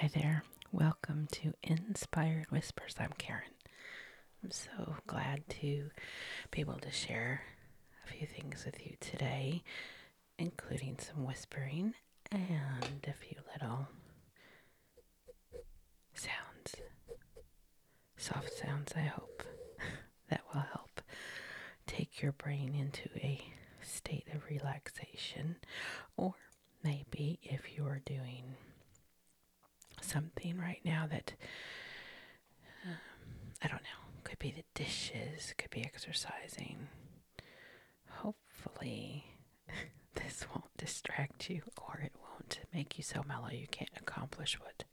Hi there. Welcome to Inspired Whispers. I'm Karen. I'm so glad to be able to share a few things with you today, including some whispering and a few little sounds, soft sounds, I hope, that will help take your brain into a state of relaxation. Or maybe if you are doing something right now that, um, I don't know, could be the dishes, could be exercising. Hopefully, this won't distract you or it won't make you so mellow you can't accomplish what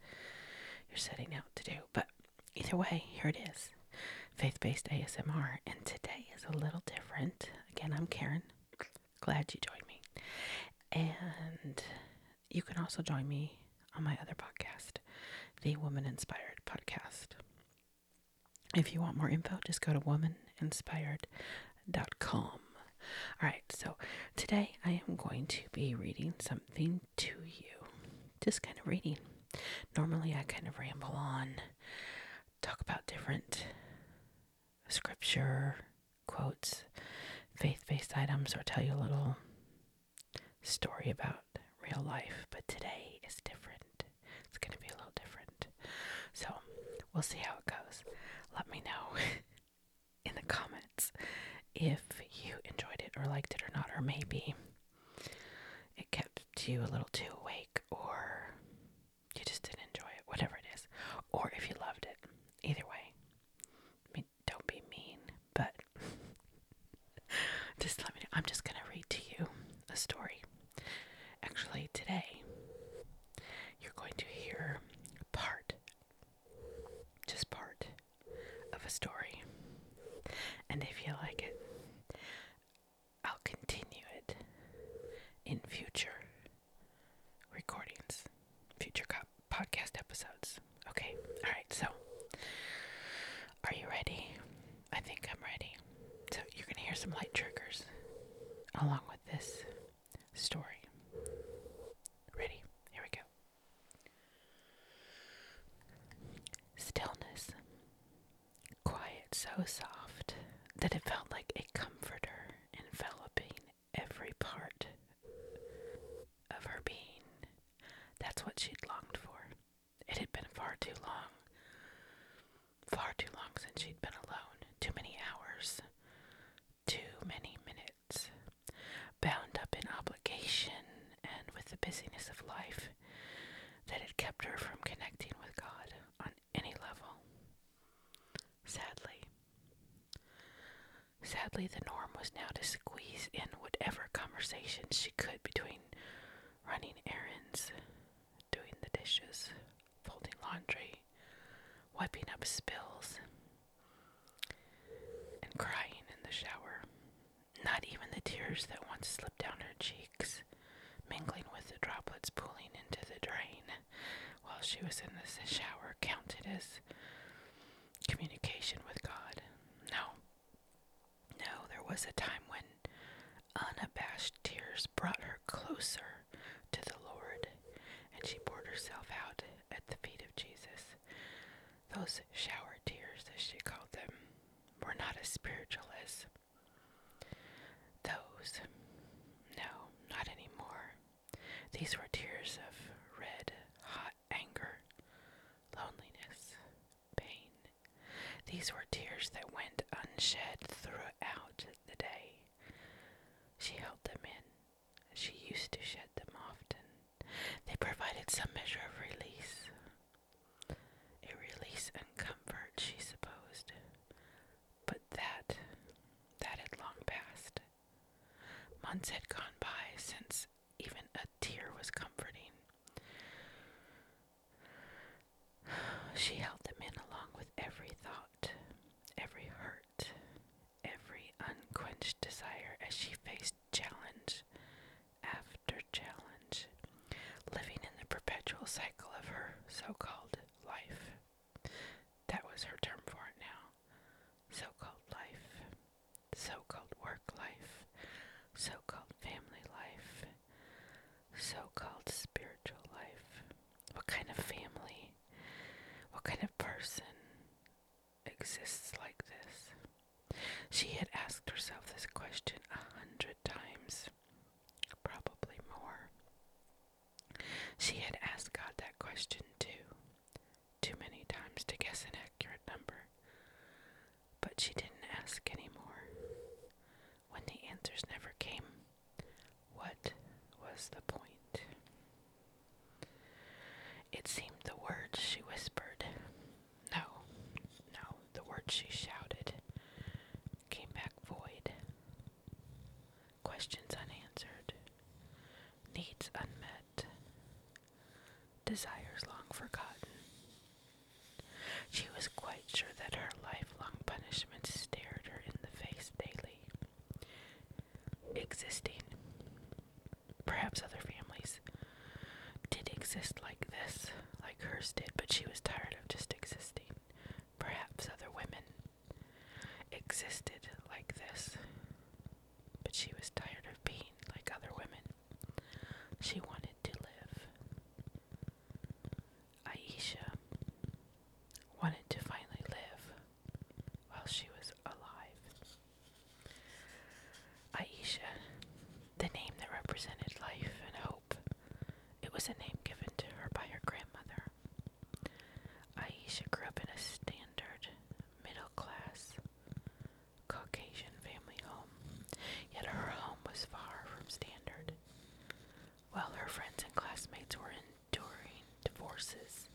you're setting out to do. But either way, here it is faith based ASMR. And today is a little different. Again, I'm Karen. Glad you joined me. And you can also join me on my other podcast, the Woman Inspired Podcast. If you want more info, just go to womaninspired.com. Alright, so today I am going to be reading something to you. Just kind of reading. Normally I kind of ramble on, talk about different scripture quotes, faith based items, or tell you a little story about real life. But today is different. It's going to be a little different. So we'll see how it goes. Let me know. in the comments if you enjoyed it or liked it or not, or maybe it kept you a little too awake or you just didn't enjoy it, whatever it is, or if you loved it. Either way, I mean, don't be mean, but just let me know. I'm just going to read to you a story. Actually, today, you're going to hear part just part of a story. And if you like it, I'll continue it in future recordings, future co- podcast episodes. Okay, all right, so are you ready? I think I'm ready. So you're going to hear some light triggers along with this story. Ready? Here we go. Stillness. Quiet so soft that it felt like a comforter enveloping every part of her being. That's what she'd longed for. It had been far too long. Far too long since she'd been alone. Too many hours too many minutes. Bound up in obligation and with the busyness of life, that it kept her from connecting with God on any level. Sadly, sadly, the norm was now to squeeze in whatever conversations she could between running errands, doing the dishes, folding laundry, wiping up spills, and crying in the shower. Not even the tears that once slipped down her cheeks, mingling with the droplets pooling into the drain while she was in the shower, counted as communication with God. No. No, there was a time when unabashed tears brought her closer to the Lord and she poured herself out at the feet of Jesus. Those shower tears, as she called them, were not as spiritual as those. No, not anymore. These were tears of red, hot anger, loneliness, pain. These were tears that went unshed throughout the day. She held them in she used to shed them often. They provided some measure of release. A release and comfort, she supposed. But that, that had long passed. Months had gone by since even a tear was comforting. She held them in along with every thought, every hurt every unquenched desire as she faced challenge after challenge, living in the perpetual cycle of her so called life. That was her term for it now so called life, so called work life, so called family life, so called spiritual life. What kind of family? What kind of person? exists like this? She had asked herself this question a hundred times, probably more. She had asked God that question too, too many times to guess an accurate number. But she didn't ask anymore. When the answers never came, what was the point? It seemed the words she whispered, no, no, the words she shouted, came back void. Questions unanswered, needs unmet, desires long forgotten. She was quite sure that her lifelong punishment stared her in the face daily, existing. Perhaps other families did exist like this, like hers did, but she was tired of just existing. Perhaps other women existed like this, but she was tired of being like other women. She wanted to live. Aisha wanted to finally live while she was alive. Aisha, the name that represented life and hope, it was a name given to her by her grandmother. Aisha grew up in a standard, middle class, Caucasian family home, yet her home was far from standard. While her friends and classmates were enduring divorces,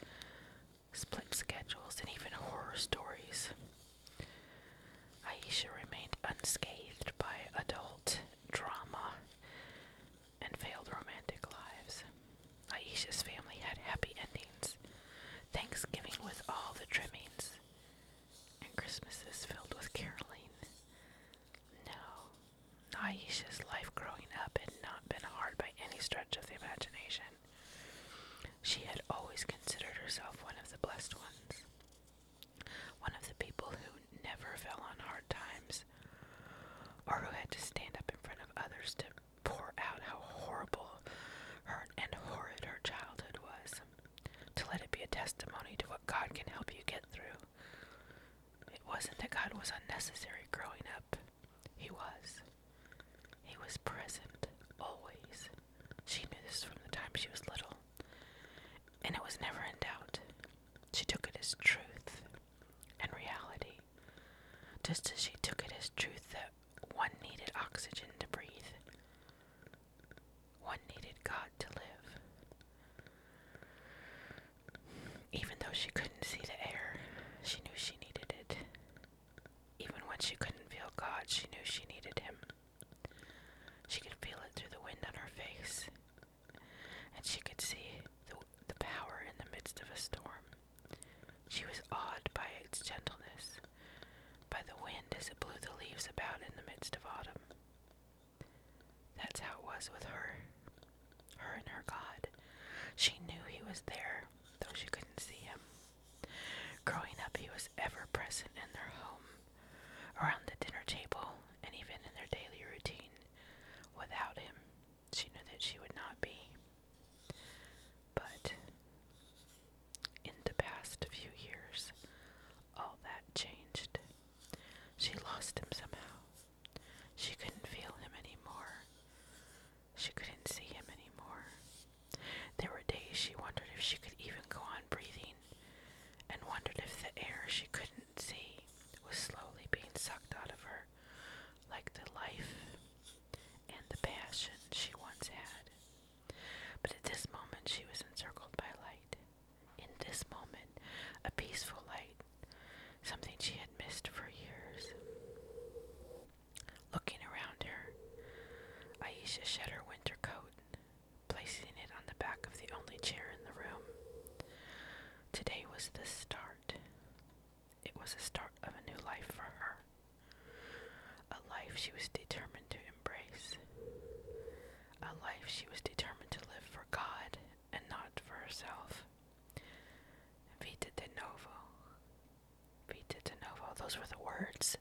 split schedules, and even horror stories. Aisha remained unscathed by adult drama and failed romantic lives. Aisha's family had happy endings, Thanksgiving with all the trimmings, and Christmases filled with caroling. No, Aisha's life growing up had not been hard by any stretch of the imagination. She had always considered herself one of the blessed ones, one of the people who never fell on hard times, or who had to stand up in front of others to pour out how horrible her and horrid her childhood was, to let it be a testimony to what God can help you get through. It wasn't that God was unnecessary growing up. He was. He was present, always. She knew this from the time she was little, and it was never in doubt. She took it as truth and reality, just as she took it as truth that one needed oxygen to breathe. One needed God to live. Even though she couldn't see the air, she knew she needed it. Even when she couldn't feel God, she knew she needed Him. She could feel it through the wind on her face, and she could see the, power in the midst of a storm. She was awed by its gentleness, by the wind as it blew the leaves about in the midst of autumn. That's how it was with her, her and her God. She knew He was there, though she couldn't see him. Growing up, he was ever present in their home, around the dinner table, and even in their daily routine. Without him, she knew that she would not be. But in the past few years, all that changed. She lost him somehow. She couldn't feel him anymore. She couldn't see him anymore. There were days she wondered if she could even go on breathing, and wondered if the air she couldn't see was slowly being sucked out of her, like the life and the passion she once had. But at this moment, she was encircled by light. In this moment, a peaceful light, something she had missed for years. Looking around her, Aisha shed her winter coat, placing it on the back of the only chair in the room. Today was the start. It was the start of a new life for her, a life she was determined to embrace, a life she was determined to live for God and not for herself. Vita de novo, Vita de novo, those were the words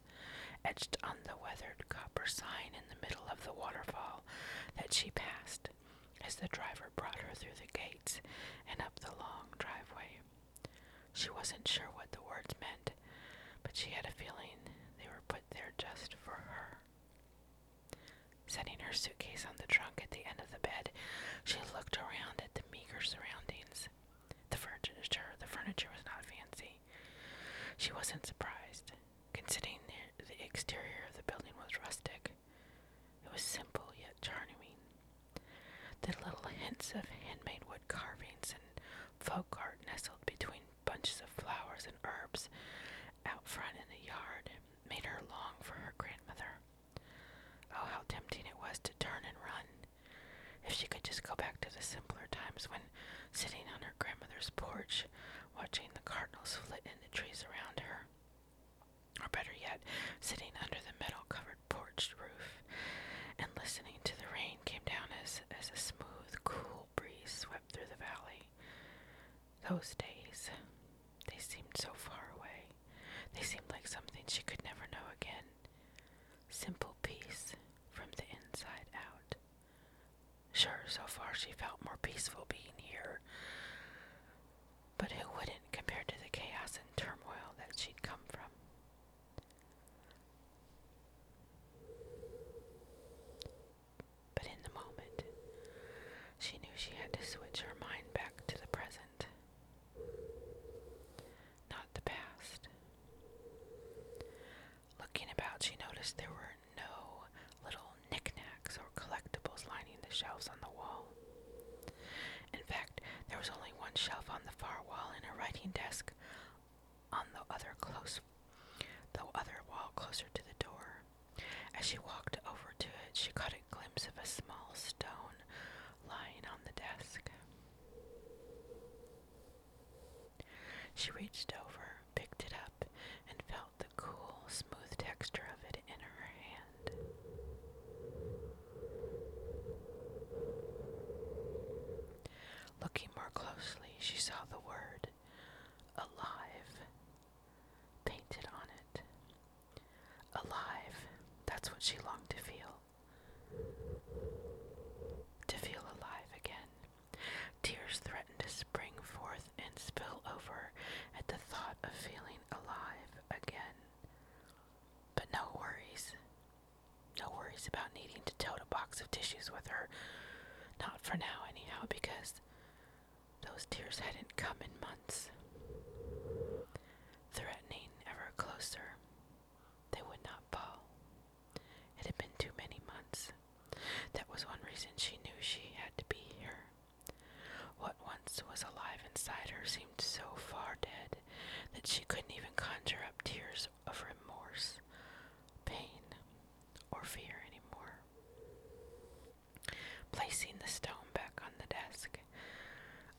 etched on the weathered copper sign in the middle of the waterfall that she passed as the driver brought her through the gates and up the long driveway. She wasn't sure what the words meant, but she had a feeling they were put there just for her. Setting her suitcase on the trunk at the end of the bed, she looked around at the meager surroundings. The furniture, the furniture was not fancy. She wasn't surprised, considering the, the exterior of the building was rustic. It was simple yet charming. The little hints of handmade wood carvings and folk art nestled between bunches of flowers and herbs out front in the yard made her long for her grandmother. Oh, how tempting it was to turn and run. If she could just go back to the simpler times when sitting on her grandmother's porch, watching the cardinals flit in the trees around her. Or better yet, sitting under the metal covered porch roof and listening to the rain came down as, as a smooth, cool breeze swept through the valley. Those days, they seemed so far away. They seemed like something she could never know again. Simple peace from the inside out. Sure, so far she felt more peaceful being here. But who wouldn't compared to the chaos and turmoil that she'd come from? But in the moment, she knew she had to switch her mind back to the present not the past. Looking about, she noticed there were no little knickknacks or collectibles lining the shelves on the wall. In fact, there was only one shelf on the far wall and a writing desk on the other close the other wall closer to the door. As she walked over to it, she caught a glimpse of a small stone lying on the desk. She reached over, picked it up, and felt the cool, smooth texture of it in her hand. Looking more closely, she saw the word alive painted on it. Alive, that's what she longed to feel to feel alive again. Tears threatened to spring forth and spill over at the thought of feeling alive again. But no worries. No worries about needing to tote a box of tissues with her. Not for now, anyhow, because those tears hadn't come in months. Threatening ever closer, they would not fall. It had been too many months. That was one reason she knew she had to be here. What once was alive inside her seemed so far dead that she couldn't even conjure up tears of remorse, pain, or fear anymore. Placing the stone back on the desk,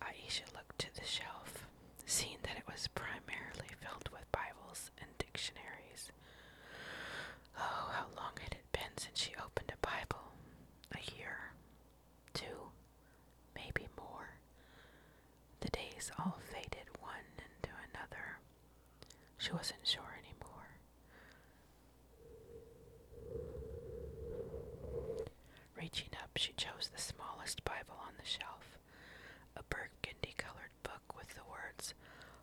Aisha looked to the shelf, seeing that it was primarily filled with Bibles and dictionaries. Oh, how long had it been since she opened a Bible. A year, two, maybe more. The days all faded one into another. She wasn't sure anymore. Reaching up, she chose the smallest Bible on the shelf, a burgundy colored book with the words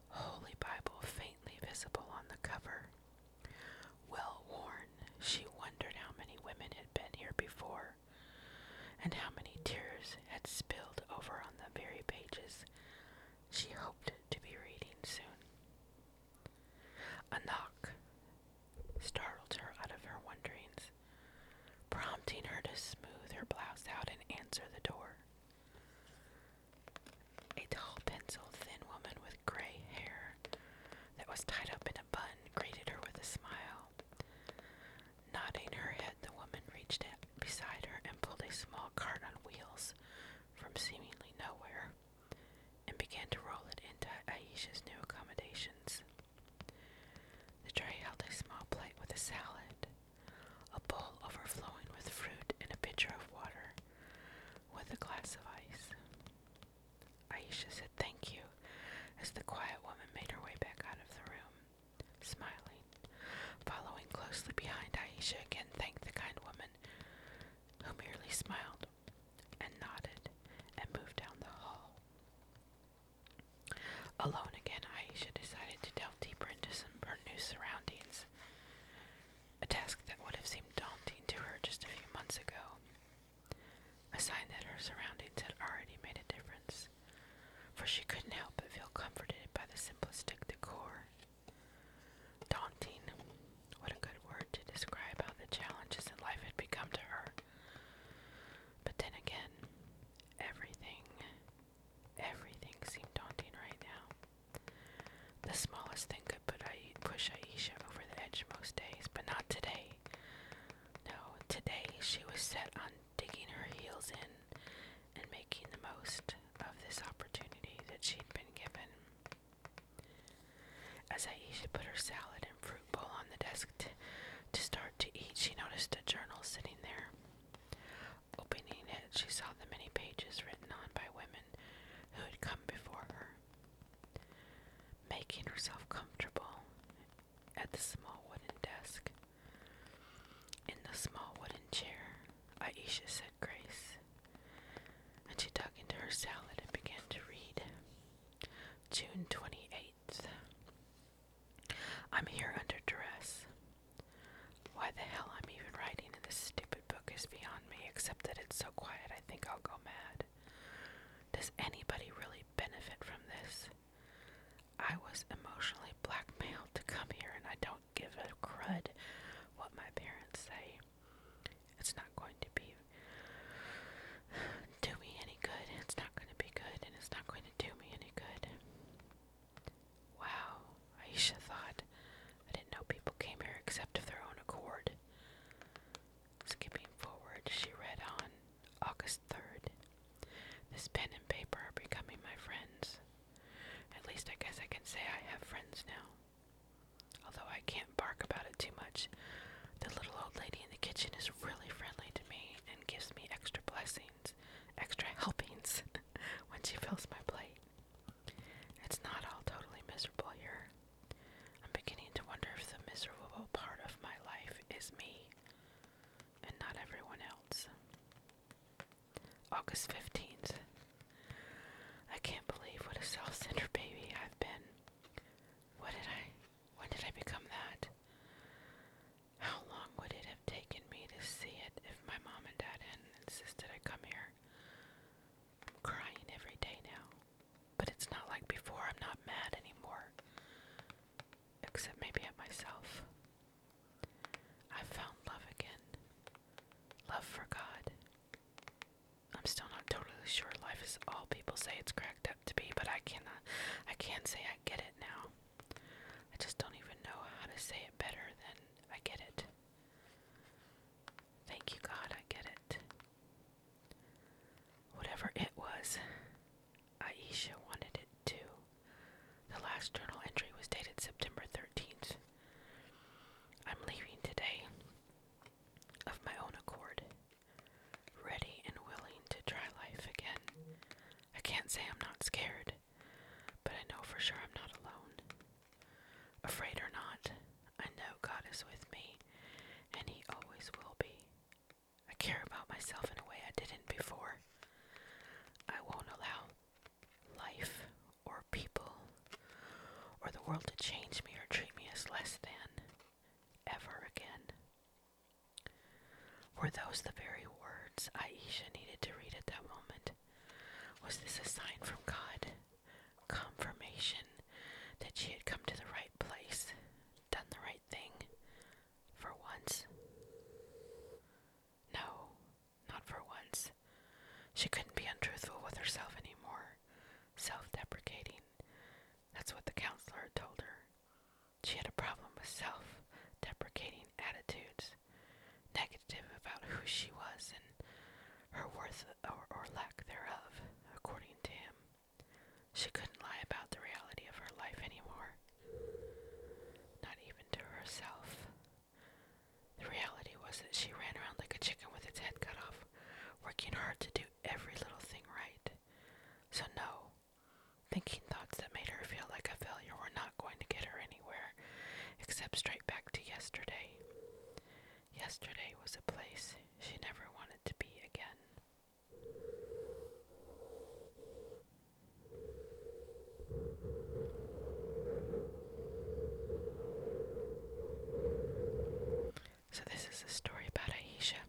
Holy Bible faintly visible on the cover. Well worn, she wondered how many women had been here before, and how many tears had spilled over on the very pages she hoped to be reading soon. A knock startled her out of her wonderings, prompting her to smooth her blouse out and answer the door. A tall, pencil thin woman with gray hair that was tied up in a bun greeted her with a smile. Nodding her head, the woman reached out beside her and pulled a small cart on wheels from seemingly nowhere and began to roll it into Aisha's new accommodations. The tray held a small plate with a salad, a bowl overflowing with fruit, and a pitcher of water with a glass of ice. Ayesha said thank you as the quiet woman made her way back out of the room, smiling. Following closely behind, Ayesha again thanked the kind woman, who merely smiled and nodded and moved down the hall. Alone again, Aisha decided to delve deeper into some her new surroundings. A task that would have seemed daunting to her just a few months ago. A sign that her surroundings had already made a difference, for she couldn't help but feel comforted by the simplistic decor. Daunting, what a good word to describe how the challenges in life had become to her. But then again, everything, everything seemed daunting right now. The smallest thing could put I- push Aisha over the edge most days, but not today. No, today she was set on digging her heels in and making the most of this opportunity that she'd been given. As Aisha put her salad and fruit bowl on the desk to start to eat, she noticed a journal sitting there. Opening it, she saw the many pages written on by women who had come before her. Making herself comfortable at the small wooden desk. In the small wooden chair, Aisha said grace, and she dug into her salad and began to read. June twenty eighth. I'm here under duress. Why the hell I'm even writing in this stupid book is beyond me, except that it's so quiet I think I'll go mad. Does anybody really benefit from this? I was emotionally blackmailed to come here, and I don't give a crud what my parents say. It's not going to be do me any good. It's not going to be good, and it's not going to do me any good. Wow, Aisha thought. I didn't know people came here except of their own accord. Skipping forward, she read on August 3rd. This pen and paper are becoming my friends. At least I guess I can say I have friends now. Although I can't bark about it too much, the little old lady in the kitchen is really friendly to me and gives me extra blessings, extra helpings when she fills my plate. It's not all totally miserable here. I'm beginning to wonder if the miserable part of my life is me and not everyone else. August 15th. I can't believe what a self centered baby I've been. What did I when did I become that? How long would it have taken me to see it if my mom and dad hadn't insisted I come here? I'm crying every day now. But it's not like before. I'm not mad anymore. Except maybe at myself. i found love again. Love for God. I'm still not totally sure life is all people say it's cracked up to be, but I cannot uh, I can't say I get it now. I just don't even know how to say it better than I get it. Thank you God, I get it. Whatever it was, Aisha wanted it too. The last journal entry was dated September 13th. I'm leaving today of my own accord ready and willing to try life again. I can't say I'm not scared, but I know for sure I'm not alone. Afraid or not, I know God is with me, and He always will be. I care about myself in a way I didn't before. I won't allow life or people or the world to change me or treat me as less than ever again. Were those the very words Aisha needed to read at that moment? Was this a sign from God? Confirmation that she had come to the right place, done the right thing, for once? No, not for once. She couldn't be untruthful with herself anymore, self deprecating. That's what the counselor had told her. She had a problem with self deprecating attitudes, negative about who she was and her worth or, lack thereof, according to him. She couldn't lie about the reality of her life anymore, not even to herself. The reality was that she ran around like a chicken with its head cut off, working hard to do every little thing right. So, no, Thinking thoughts that made her feel like a failure were not going to get her anywhere except straight back to yesterday. Yesterday was a place she never wanted to be again. So, this is a story about Aisha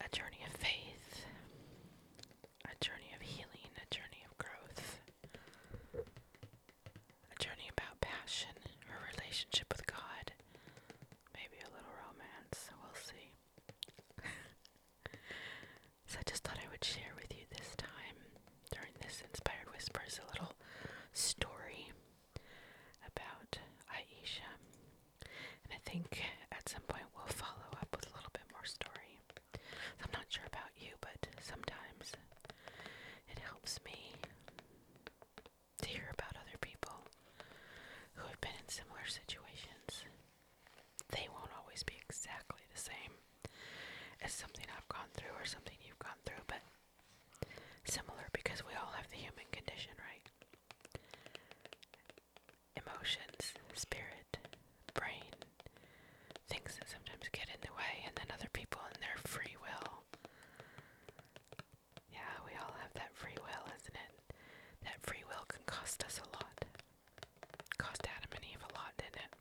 a journey of faith, a journey of healing, a journey of growth, a journey about passion, her relationship with God, maybe a little romance, we'll see. so I just thought I would share with you this time during this Inspired Whispers a little story about Aisha. And I think at some point we'll follow up with a little bit more story. I'm not sure about you, but sometimes it helps me to hear about other people who have been in similar situations. They won't always be exactly the same as something I've gone through or something you've gone through, but Similar because we all have the human condition, right? Emotions, spirit, brain, things that sometimes get in the way, and then other people and their free will. Yeah, we all have that free will, isn't it? That free will can cost us a lot. Cost Adam and Eve a lot, didn't it?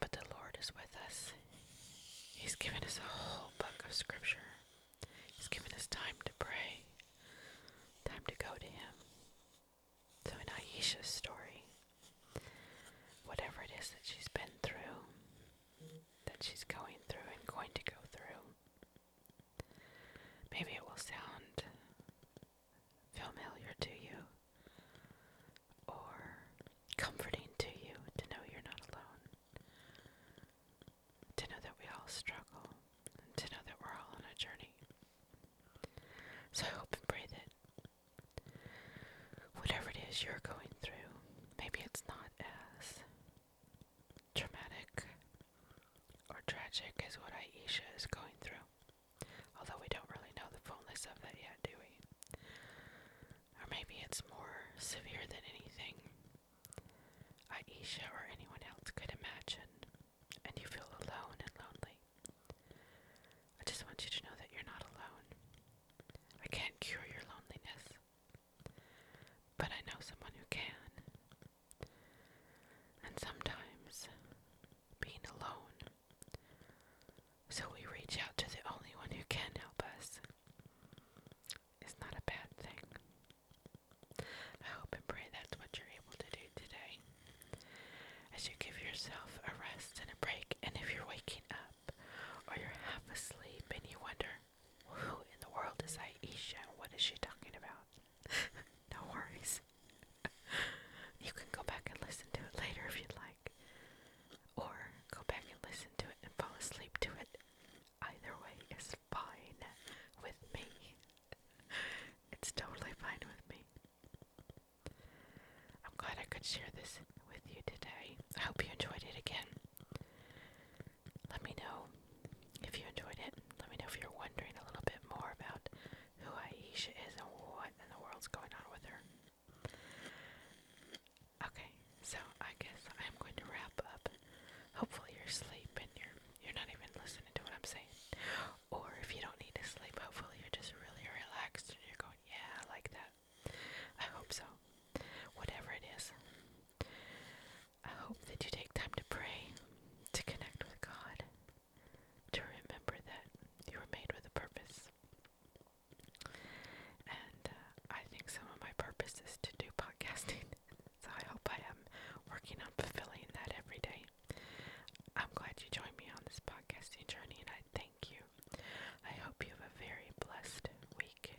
But the Lord is with us. He's given us a whole book of scripture. He's given us time to pray, time to go to Him. So, in Aisha's story, whatever it is that she's been through, that she's going through and going to go through, maybe it will sound familiar to you or comforting to you to know you're not alone, to know that we all struggle, to know that we're all on a journey. So I hope and pray that whatever it is you're going through, maybe it's not as traumatic or tragic as what Ayesha is going through. Although we don't really know the fullness of that yet, do we? or maybe it's more severe than anything Aisha or anyone else could imagine, and you feel alone and lonely. I just want you to know that you're not alone. I can't cure your loneliness, but I know someone who can. And sometimes being alone so we reach out to the only one who can help us. It's not a bad thing. I hope and pray that's what you're able to do today. As you give yourself a rest and a break, and if you're waking up or you're half asleep and you wonder, who in the world is Aisha? What is she talking about? no worries. you can go back and listen to it later if you'd like or go back and listen to it and fall asleep to it. Either way is fine with me. it's totally fine with me. I'm glad I could share this with you today. I hope you enjoyed it again. Let me know if you enjoyed it. Let me know if you're wondering a little bit more about who Aisha is and what in the world's going on with her. Okay, so I guess I'm going to wrap up. Hopefully you're asleep and you're you're not even listening to what I'm saying. Or if you don't need to sleep, hopefully you're just really relaxed and you're going, yeah, I like that. I hope so. Whatever it is. I hope that you take time to pray, to connect with God, to remember that you were made with a purpose, and uh, I think some of my purpose is to do podcasting. so I hope I am working on fulfilling that every day. I'm glad you joined me on this podcasting journey and I thank you. I hope you have a very blessed week.